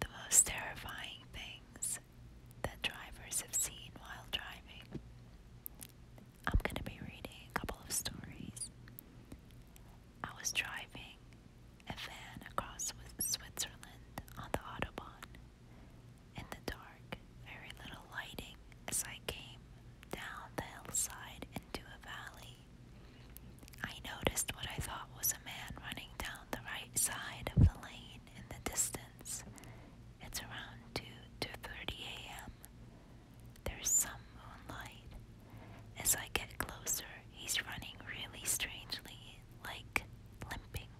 The most terrifying things that drivers have seen while driving. I'm going to be reading a couple of stories. I was driving a van across Switzerland on the Autobahn. In the dark, very little lighting as I came down the hillside into a valley. I noticed what I thought was a man running down the right side of the lane in the distance. It's around 2 to 30 a.m. There's some moonlight. As I get closer, he's running really strangely, like limping.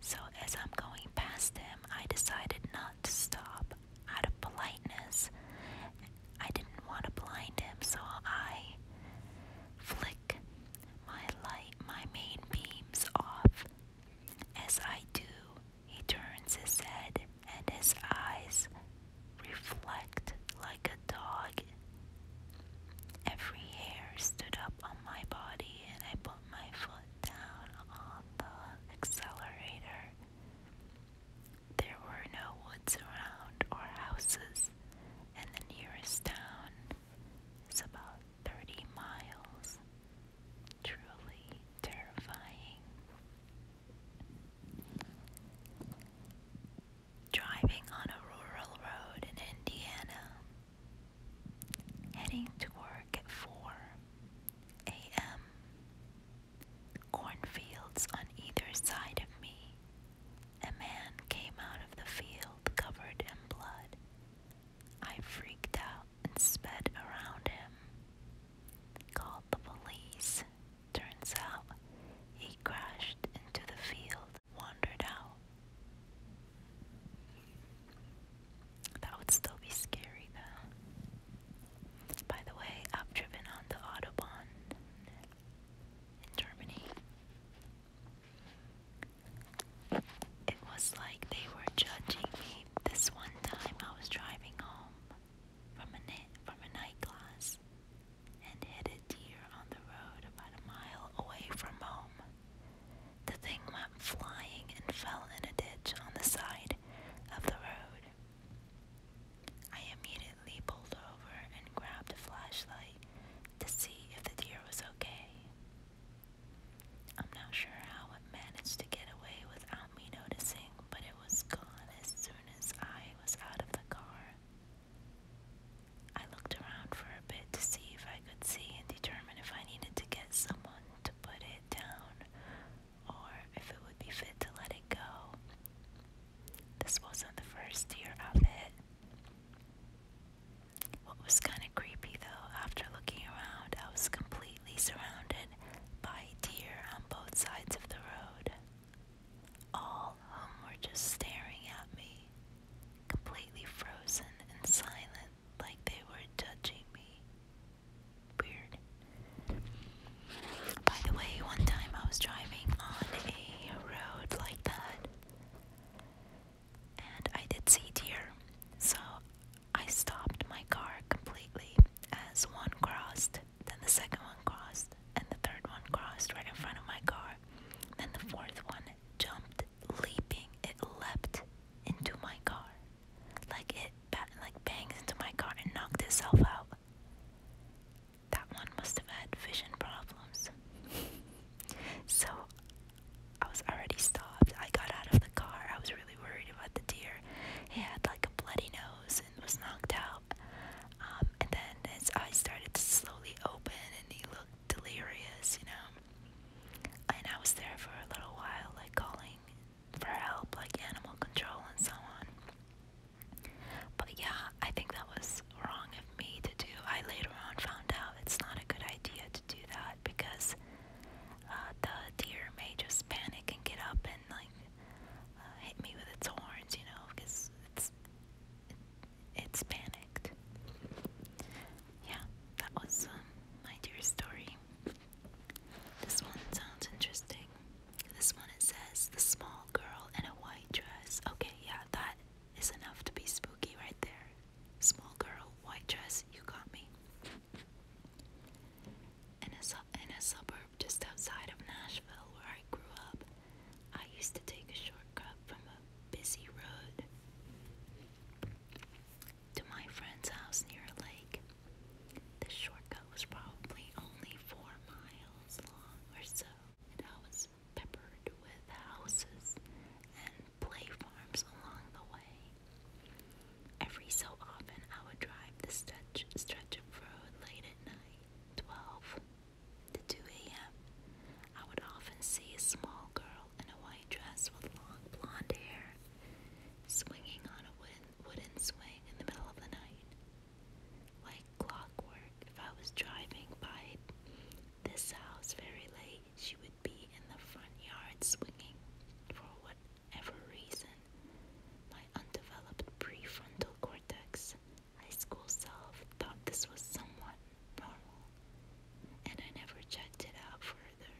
So as I'm going past him, I decided not to stop out of politeness I didn't want to blind him, so I flick my light, my main beams off. As I do, he turns his head and his eyes reflect like a dog. Every hair stood up on my body, and I put my foot down on the accelerator. There were no woods around or houses, and the nearest town is about 30 miles. Truly terrifying. Driving on a rural road in Indiana, heading to work at 4 a.m. Cornfields on either side of me, a man came out of the field covered in blood. I freaked out and sped around him. Called the police. Turns out he crashed into the field, wandered out. That would still be scary though. By the way, I've driven on the Autobahn in Germany. It was like they were judging me. This one time I was driving home from a, from a night class and hit a deer on the road about a mile away from home. The thing went flying and fell in a ditch on the side of the road. I immediately pulled over and grabbed a flashlight to see if the deer was okay. I'm not sure how it managed to get away without me noticing, but it was gone as soon as I was out of the car. I looked around for a bit to see if I could see and determine if I needed to get someone to put it down or if it would be fit to let it go. This wasn't the first year of it. What was kind of creepy though, after looking around, I was completely surrounded by deer on both sides of the road. All of whom were just staring at me, completely frozen and silent, like they were judging me. Weird. By the way, one time I was driving on a road like that and I did see deer. So I stopped my car completely as one crossed, then the second one crossed, and the third one crossed right in front of my car. Then the fourth one jumped, leaping. It leapt into my car. Like it like bangs into my car and knocked itself out that one must have had vision problems. so I was already stopped. I got out of the car. I was really worried about the deer. He had like a bloody nose and was knocked out. Um, and then his eyes started to slowly open and he looked delirious, you know. And I was there for a little while, like calling for help, like animal control and so on. But yeah, I think that was wrong of me to do. I later on found out it's not a good idea to do that because uh, the deer may just panic and get up and like uh, hit me with its horns, you know, because it's it, it's panicked. Yeah, that was um, my deer story. This one sounds interesting. This one it says the small girl in a white dress. Okay, yeah, that is enough to be spooky right there. Small girl, white dress, you got me. In a, su in a suburb just outside of Nashville where I grew up, I used to take a shortcut from a busy road to my friend's house near a lake. This shortcut was probably only four miles miles long or so. It was peppered with houses and play farms along the way. Every so often, I would drive the stretch, stretch of road late at night, 12 to 2 a.m. I would often see a small girl in a white dress with long blonde hair swinging on a wooden, wooden swing in the middle of the night. Like clockwork, if I was driving by this house very late, she would be in the front yard swinging for whatever reason. My undeveloped prefrontal cortex, high school self, thought this was somewhat normal, and I never checked it out further.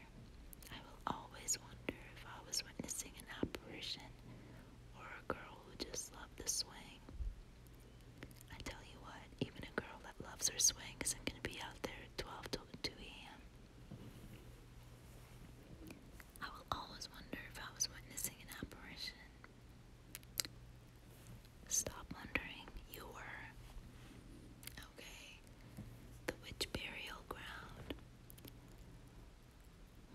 I will always wonder if I was witnessing an apparition or girl who just loved the swing. I tell you what, even a girl that loves her swing isn't going to be out there at 12 to will always wonder if I was witnessing an apparition. Stop wondering, you were. Okay, the witch burial ground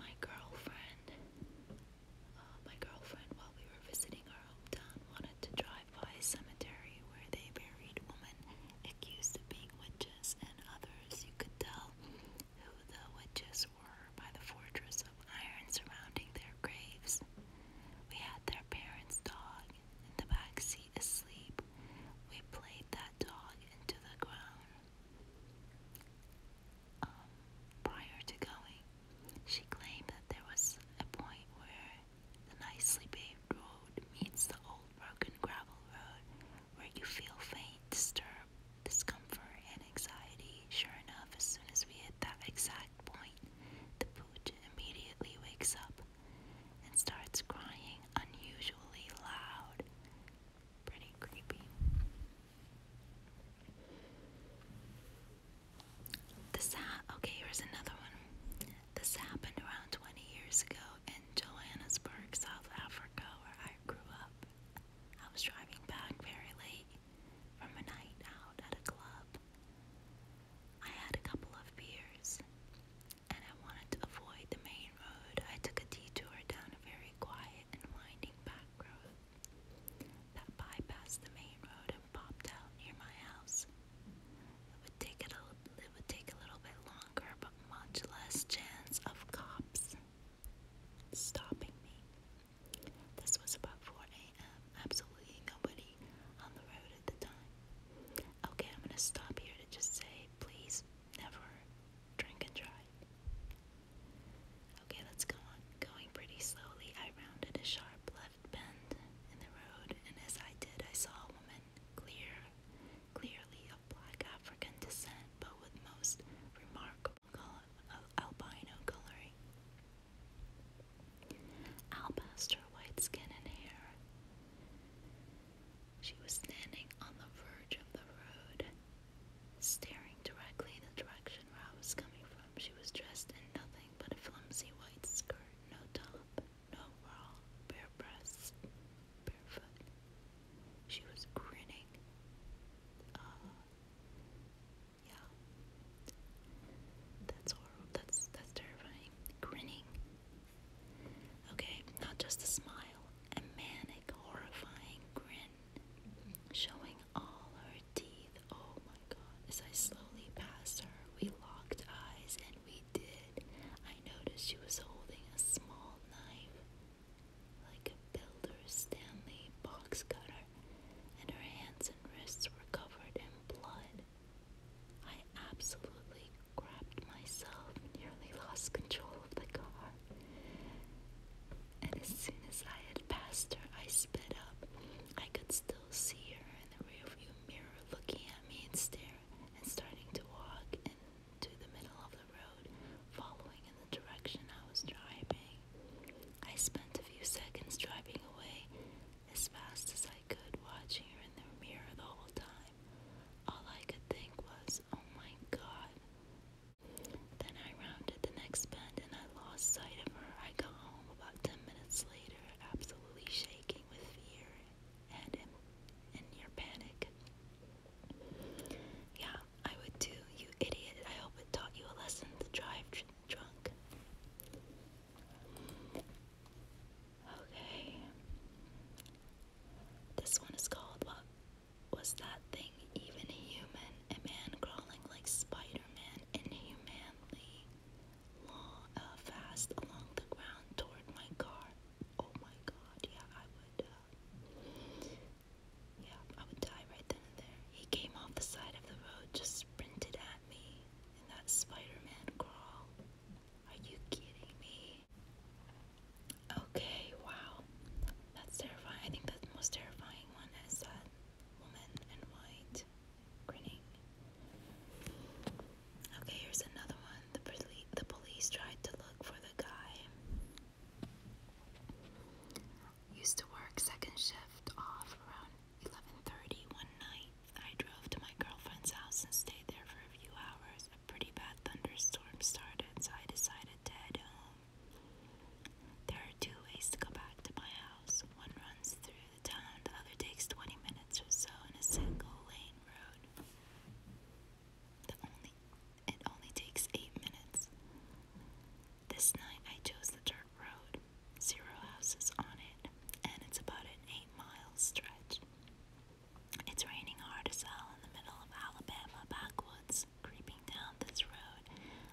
my girlfriend, uh, my girlfriend, while we were visiting our hometown, wanted to drive by a cemetery where they buried women accused of being witches and others. You could tell who the witches were by the fortress of iron surrounding their graves. We had their parents' dog in the back seat asleep. We played that dog into the ground. Um, prior to going, she claimed that there was a point where the nicely paved road meets the old broken gravel road where you feel faint, disturb, discomfort, and anxiety. Sure enough, as soon as we hit that exact point, the pooch immediately wakes up and starts crying unusually loud. Pretty creepy. This ha okay, here's another one. This happened around 20 years ago in Johannesburg, South Africa, where I grew up. I was driving back very late from a night out at a club. I had a couple of beers and I wanted to avoid the main road. I took a detour down a very quiet and winding back road that bypassed the main road and popped out near my house. It would take it a, it would take a little bit longer, but much less chance of cops stopping me. This was about 4 a.m. Absolutely nobody on the road at the time. Okay, I'm gonna stop here to just say, please never drink and drive. Okay, let's go on. Going pretty slowly, I rounded a sharp left bend in the road, and as I did, I saw a woman, clear, clearly of black African descent, but with most remarkable uh, albino coloring. Alabaster white skin and hair. She was standing on the verge of the road, staring directly in the direction where I was coming from. She was dressed in nothing but a flimsy white skirt, no top, no overall, bare breasts, barefoot. She was grinning. Uh, yeah. That's horrible. That's that's terrifying. Grinning. Okay, not just a smile, a manic, horrifying grin, showing all her teeth. Oh my god. As I slowly passed her, we locked eyes and we did. I noticed she was holding a small knife, like a Builder Stanley box cutter, and her hands and wrists were covered in blood. I absolutely grabbed myself, nearly lost control of the car. And as soon as I had passed her, I sped up. I could still see her in the rearview mirror looking at me and staring and starting to walk into the middle of the road, following in the direction I was driving. I spent a few seconds driving away as fast as I could, watching her in the mirror the whole time. All I could think was, oh my god. Then I rounded the next bend and I lost sight of her. I got home about 10 minutes later, absolutely shaking with fear and in, in panic. Yeah, I would too, you idiot. I hope it taught you a lesson to drive drunk. Okay. This one is called uh, was that thing even human? A man crawling like Spider inhumanly uh, fast along the ground toward my car. Oh my god, yeah, I would. Uh, yeah, I would die right then and there. He came off the side of the road, just sprinted at me in that Spider Man crawl. Are you kidding me? Okay, wow. That's terrifying. I think the most terrifying one is that woman in white grinning. Okay, here's another one. The, poli the police tried to look for the guy. Used to work second shift off around 11:30 one night. I drove to my girlfriend's house and stayed there for a few hours a pretty bad thunderstorm started, so I decided to head home. There are two ways to go back to my house. One runs through the town, the other takes 20 minutes or so in a single lane road. The only, it only takes 8 minutes. This night I chose the dirt road, zero houses on it, and it's about an 8 mile stretch. It's raining hard as hell in the middle of Alabama backwoods. Creeping down this road,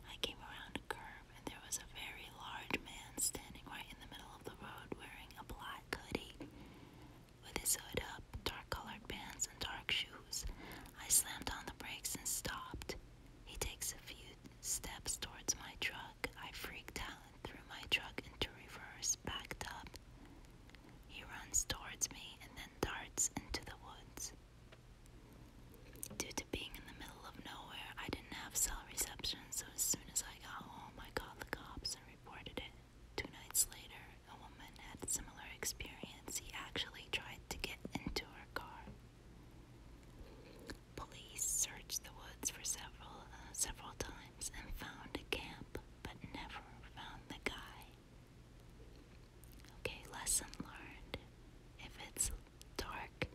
I came around a curve and there was a very large man standing right in the middle of the road wearing a black hoodie. With his hood up, dark colored pants, and dark shoes, I slammed on the brakes and stopped. He takes a few steps towards my truck. I freaked out and threw my truck into reverse, backed up, he runs towards me and then darts into the woods. Due to being in the middle of nowhere, I didn't have cell reception, so as soon as I got home, I called the cops and reported it. Two nights later, a woman had similar experience. He actually tried to get into her car. Police searched the woods for several uh, several times and found a camp but never found the guy. Okay, lesson learned. If it's dark,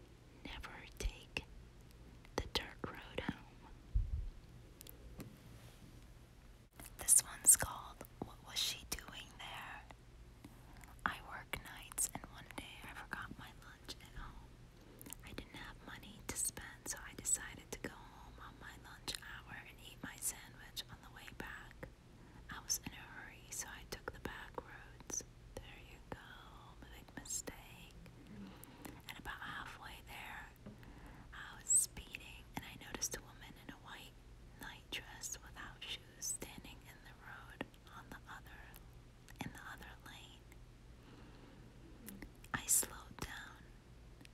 never take the dark road home. This one's called What Was She Doing There? I work nights, and one day I forgot my lunch at I didn't have money to spend, so I decided to go home on my lunch hour and eat my sandwich on the way back. I was in a hurry, so I took the back roads. There you go, big mistake. And about halfway there, I was speeding and I noticed a woman in a white nightdress without shoes standing in the road on the other in the other lane. I slowed down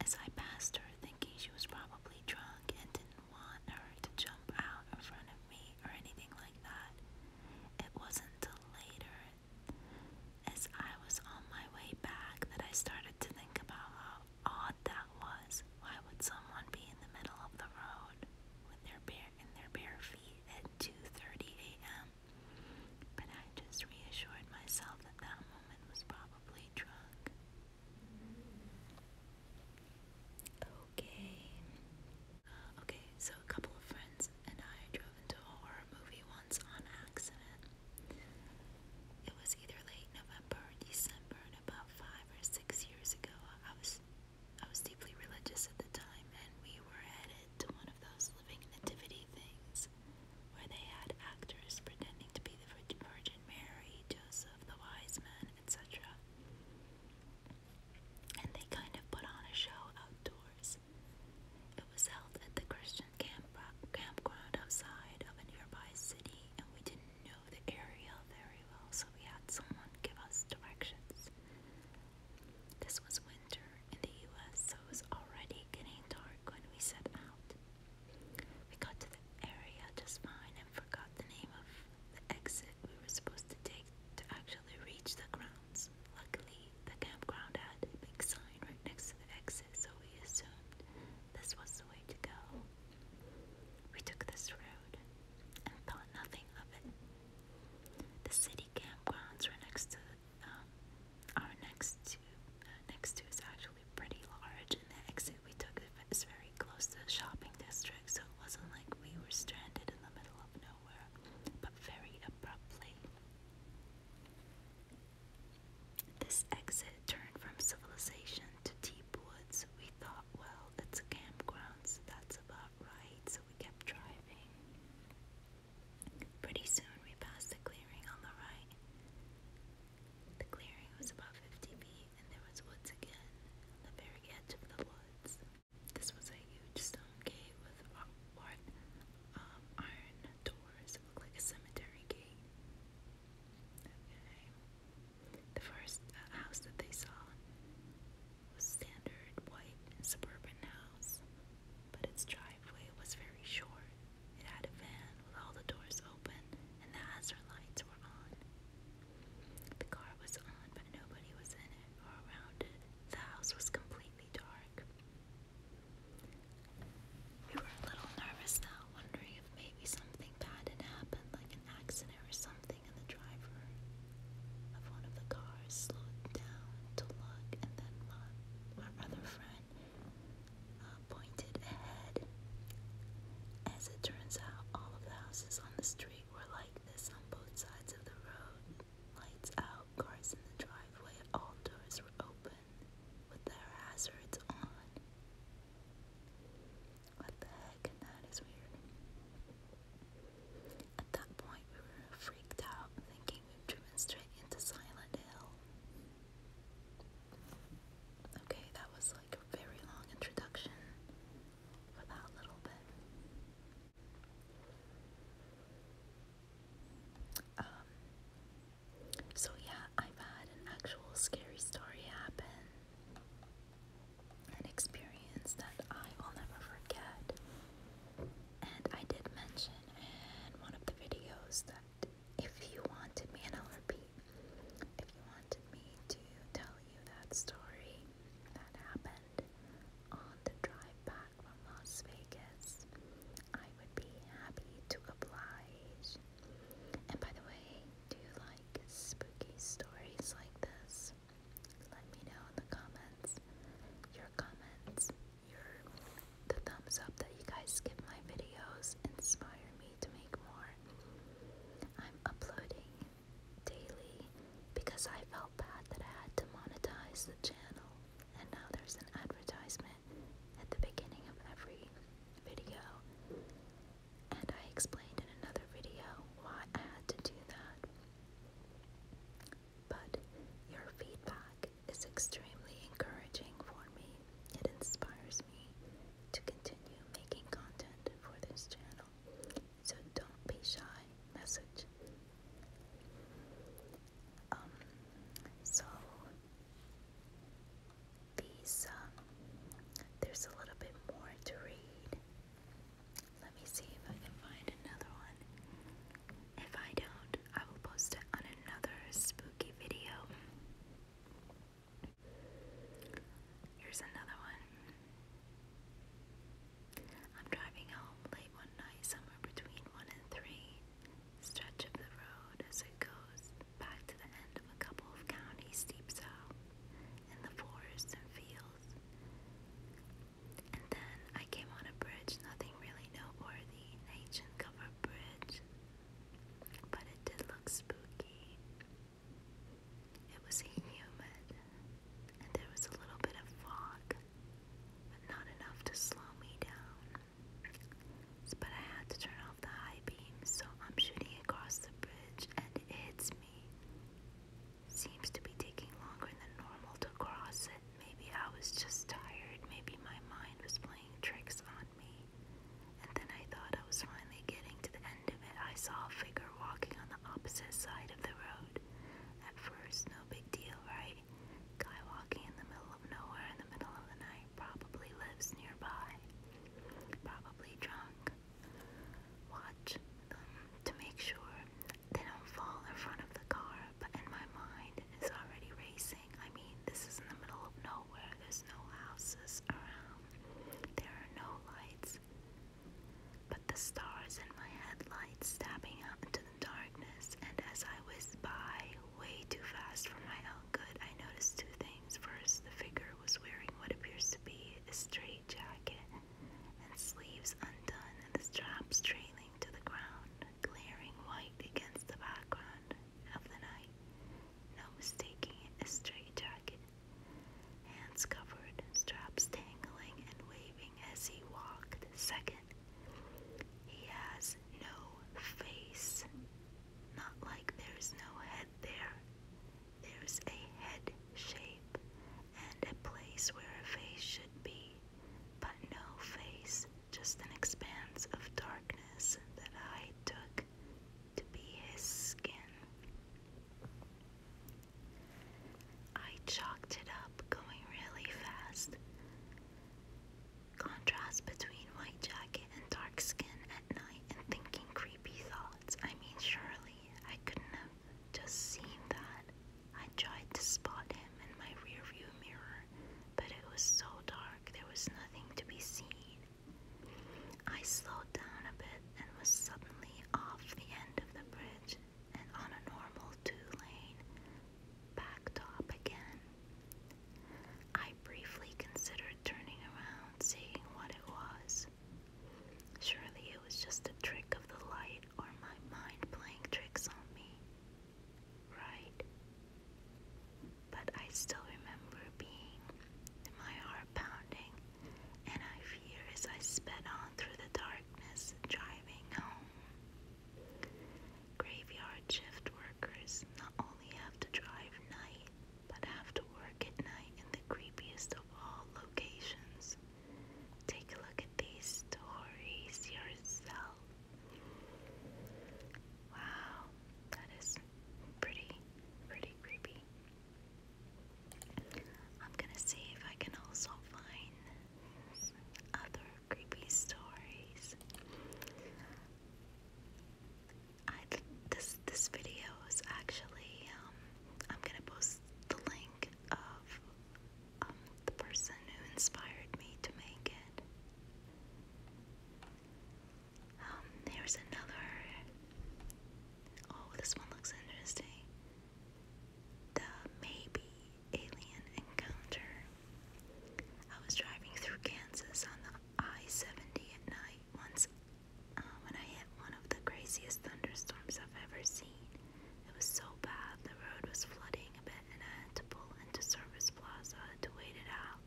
as I passed her, thinking she was probably drunk and didn't want her to jump out in front of me or anything like that, it wasn't till later, as I was on my way back, that I started to think about how odd that was. Why would someone be in the middle of the road with their bare in their bare feet at 2:30 a.m.? But I just reassured myself that that moment was probably probably drunk. Okay. Okay, so a couple of friends and I drove into a horror movie once on accident. It was either late November or December, and about five or six years ago, I was I was deeply religious at the time, and we were headed to one of those living nativity things where they had actors pretending to be the Virgin Mary, Joseph, the wise man, etc. And they kind of put on a show outdoors. It was held at the Christian camp campground outside of a nearby city, and we didn't know the area very well, so we had someone give us directions. This was winter in the US, so it was already getting dark when we set out. We got to the area just fine and forgot the name of the exit we were supposed to take to actually reach the grounds. Luckily, the campground had a big sign right next to the exit, so we assumed this was the way to go. We took this road and thought nothing of it. The city campgrounds were next to um, our next to uh, next to is actually pretty large, and the exit we took is very close to the shopping district, so it wasn't like we were stranded in the middle of nowhere, but very abruptly. This exit turned from civilization to deep woods. We thought, well, it's a campground, so that's about right. So we kept driving. Pretty soon we passed the clearing on the right. The clearing was about 50 feet and there was woods again, the very edge of the woods. This was a huge stone gate with um, iron doors. It looked like a cemetery gate. The first uh, house that they saw was standard white suburban house, but its driveway was very short. It had a van with all the doors open and the hazard lights were on. The car was on, but nobody was in it or around it. The house was completely dark. We were a little nervous now, wondering if maybe something bad had happened, like an accident or something, and the driver of one of the cars slowed down to look and then my, my friend uh, pointed ahead. As it turns out, all of the houses on the street were like this on both sides of the road. Lights out, cars in the driveway, all doors were open with their hazards on. What the heck? That is weird. At that point, we were freaked out, thinking we'd driven straight into Silent Hill. Okay, that was like a very long introduction for that little bit. Um, so yeah, I've had an actual scary story happen. An experience that I will never forget. And I did mention in one of the videos that if you wanted me, and i repeat, if you wanted me to tell you that story that happened on the drive back from Las Vegas, I would be happy to oblige. And by the way, do you like spooky stories like this? Let me know in the comments. Your comments your the thumbs up that you guys give my videos inspire me to make more. I'm uploading daily because I felt bad that I had to monetize the channel and now there's an advertisement at the beginning of every video. And I explained in another video why I had to do that. But your feedback it's extremely encouraging for me. It inspires me to continue making content for this channel. So don't be shy. Message. Um, so these, um, there's a little bit more to read. Let me see if I can find another one. If I don't, I will post it on another spooky video. Here's another one. I'm driving home late one night, somewhere between 1 and 3. Stretch of the road as it goes back to the end of a couple of counties deep south, in the forests and fields. And then I came on a bridge, nothing really noteworthy the ancient covered bridge, but it did look spooky. It was humid, and there was a little bit of fog, but not enough to slow me down. But I had to turn off the high beam, so I'm shooting across the bridge, and it me. Seems to be taking longer than normal to cross it. Maybe I was just tired. Maybe my mind was playing tricks on me. And then I thought I was finally getting to the end of it. I saw a figure walking on the opposite side of the road. At first, no big deal, right? Guy walking in the middle of nowhere in the middle of the night probably lives nearby. Probably drunk. Watch them to make sure they don't fall in front of the car, but in my mind, is already racing. I mean, this is in the middle of nowhere. There's no houses around. There are no lights. But the stars in my headlights stabbing out into the darkness, and as I whizzed by way too fast for my own good, I noticed two things. First, the figure was wearing what appears to be a straight jacket and sleeves undone, and the straps trailing to the ground, glaring white against the background of the night. No mistaking it, a straight Hands covered, straps tangling and waving as he walked. Second, he has no face. Not like there's no head there. There's a head shape and a place where a face should be but no face, just an expanse of darkness that I took to be his skin. I chalked it up going really fast. Contrast between white jacket and dark skin at night and thinking creepy thoughts. I mean, surely I could have just seen that I tried to spot him in my rearview mirror, but it was so dark there was nothing to be seen. I slowed down a bit and was suddenly off the end of the bridge and on a normal two-lane backtop again. I briefly considered turning around, seeing what it was. Surely it was just a trick of the light or my mind playing tricks on me right? But I still remember being, my heart pounding, and I fear as I sped on through the darkness, driving home. Graveyard shift workers not only have to drive night, but have to work at night in the creepiest of all locations. Take a look at these stories yourself. Wow, that is pretty, pretty creepy. I'm gonna see if I can also find other creepy stories. I this this video is actually um I'm gonna post the link of um, the person who inspired me to make it. Um, here's another. Oh, this one looks interesting. The maybe alien encounter. I was driving through Kansas on the I 70 at night once uh, when I hit one of the craziest thunderstorms I've ever seen. It was so bad, the road was flooding a bit, and I had to pull into Service Plaza to wait it out.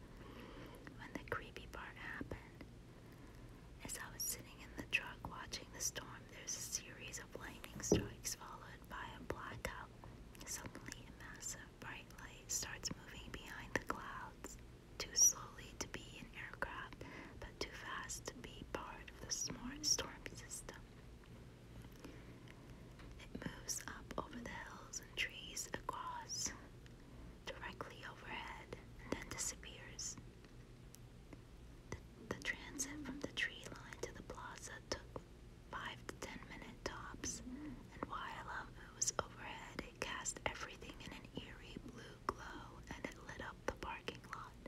When the creepy part happened, as I was sitting in the truck watching the storm, there's a series of lightning strikes followed by a blackout. Suddenly, a massive bright light starts moving behind the clouds, too slowly to be an aircraft, but too fast to be part of the storm system. It moves up over the hills and trees across, directly overhead, and then disappears. The, the transit from the tree line to the plaza took five to ten minute tops, and while up it was overhead, it cast everything in an eerie blue glow and it lit up the parking lot.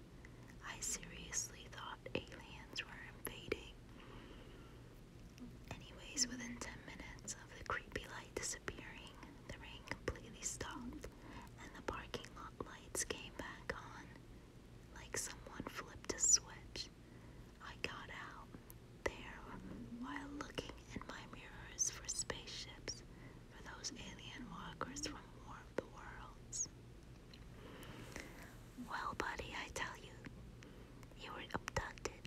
I seriously thought aliens were invading. Anyways, within 10 minutes of the creepy light disappearing, the rain completely stopped and the parking lot lights came back on. Like someone flipped a switch. I got out there while looking in my mirrors for spaceships for those alien walkers from War of the Worlds. Well, buddy, I tell you, you were abducted.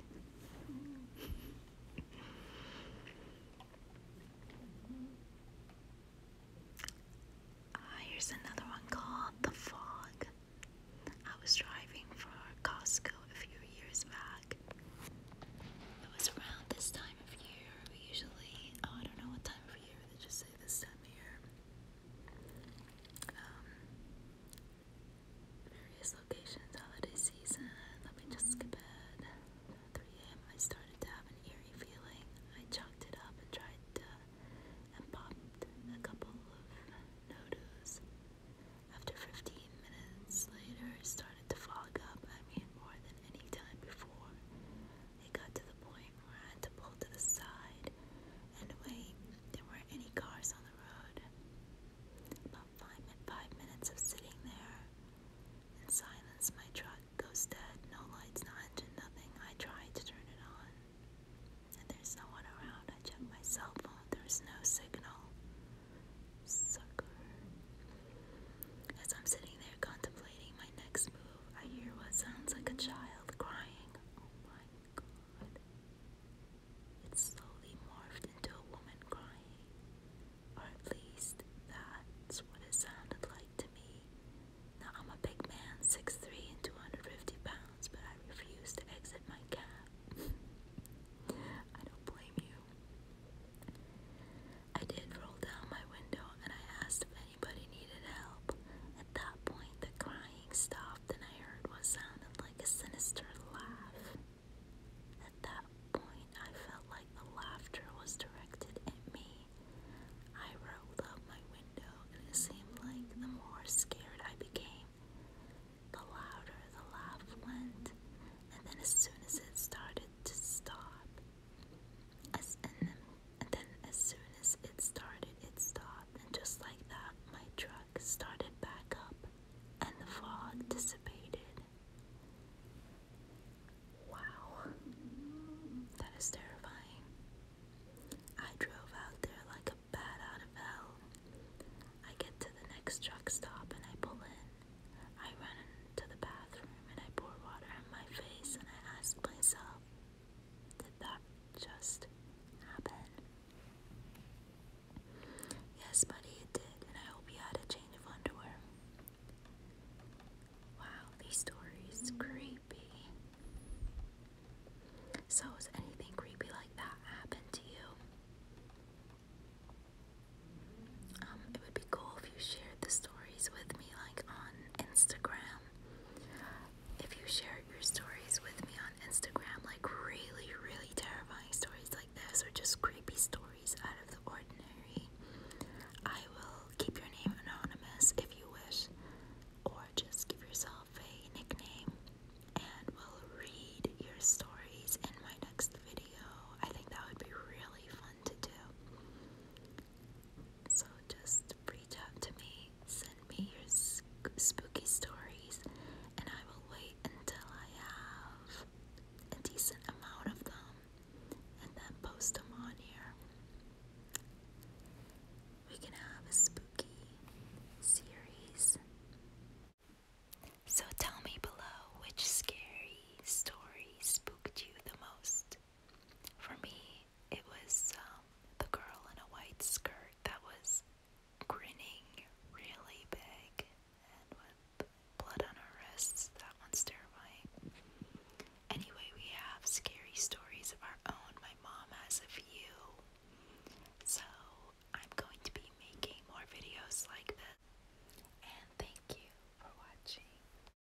Ah, here's another one called The Fog. I was driving for Costco a few years back. It was around this time of year. usually, oh, I don't know what time of year, they just say this time of year various locations, holiday season. Let me just skip ahead. 3 a.m. I started to have an eerie feeling. I chalked it up and tried to, and popped a couple of nodos. After 15 minutes later, it started to fog up. I mean, more than any time before. It got to the point where I had to pull to the side and wait. There were any cars on the road. About five, minutes of sitting there in silence, my truck goes dead. No lights, no engine, nothing. I try to turn it on, and there's no one around. I check my cell phone. There's no signal. Sucker. As I'm sitting there contemplating my next move. I hear what sounds like a child crying. Oh my god. It slowly morphed into a woman crying. Or at least that's what it sounded like to me. Now I'm a big man, 6'3 and 250 pounds, but I refuse to exit my cab. I don't blame you. I did roll down my window and I asked anybody needed help. At that point, the crying stopped, and I heard what sounded like a sinister laugh. At that point, I felt like the laughter was directed at me. I rolled up my window, it seemed like the more scared I became, the louder the laugh went. And then, as soon as it started to stop, as in and then, as soon as it started, it stopped, and just like that, my truck started back up and the fog dissipated. Wow, that is terrifying. I drove out there like a bat out of hell. I get to the next truck stop and I pull in. I run to the bathroom and I pour water on my face and I ask myself, did that just happen? Yes, buddy, it did, and I hope you had a change of underwear. Wow, these stories creepy. So, has anything creepy like that happened to you? Um, it would be cool if you shared the stories with me, like on Instagram if you share your stories with me on Instagram, like really, really terrifying stories like this, or just creepy stories out of the ordinary, I will keep your name anonymous if you wish, or just give yourself a nickname, and we'll read your stories in my next video. I think that would be really fun to do. So just reach out to me, send me your spooky stories, and I will wait until I have a decent amount of them and then post them on here. We can have a spooky series. So tell me below which scary story spooked you the most. For me, it was um, the girl in a white skirt that was grinning really big and with blood on her wrists. That one's terrifying. Anyway, we have scary stories of our own. My mom has a few. So I'm going to be making more videos like this. And thank you for watching.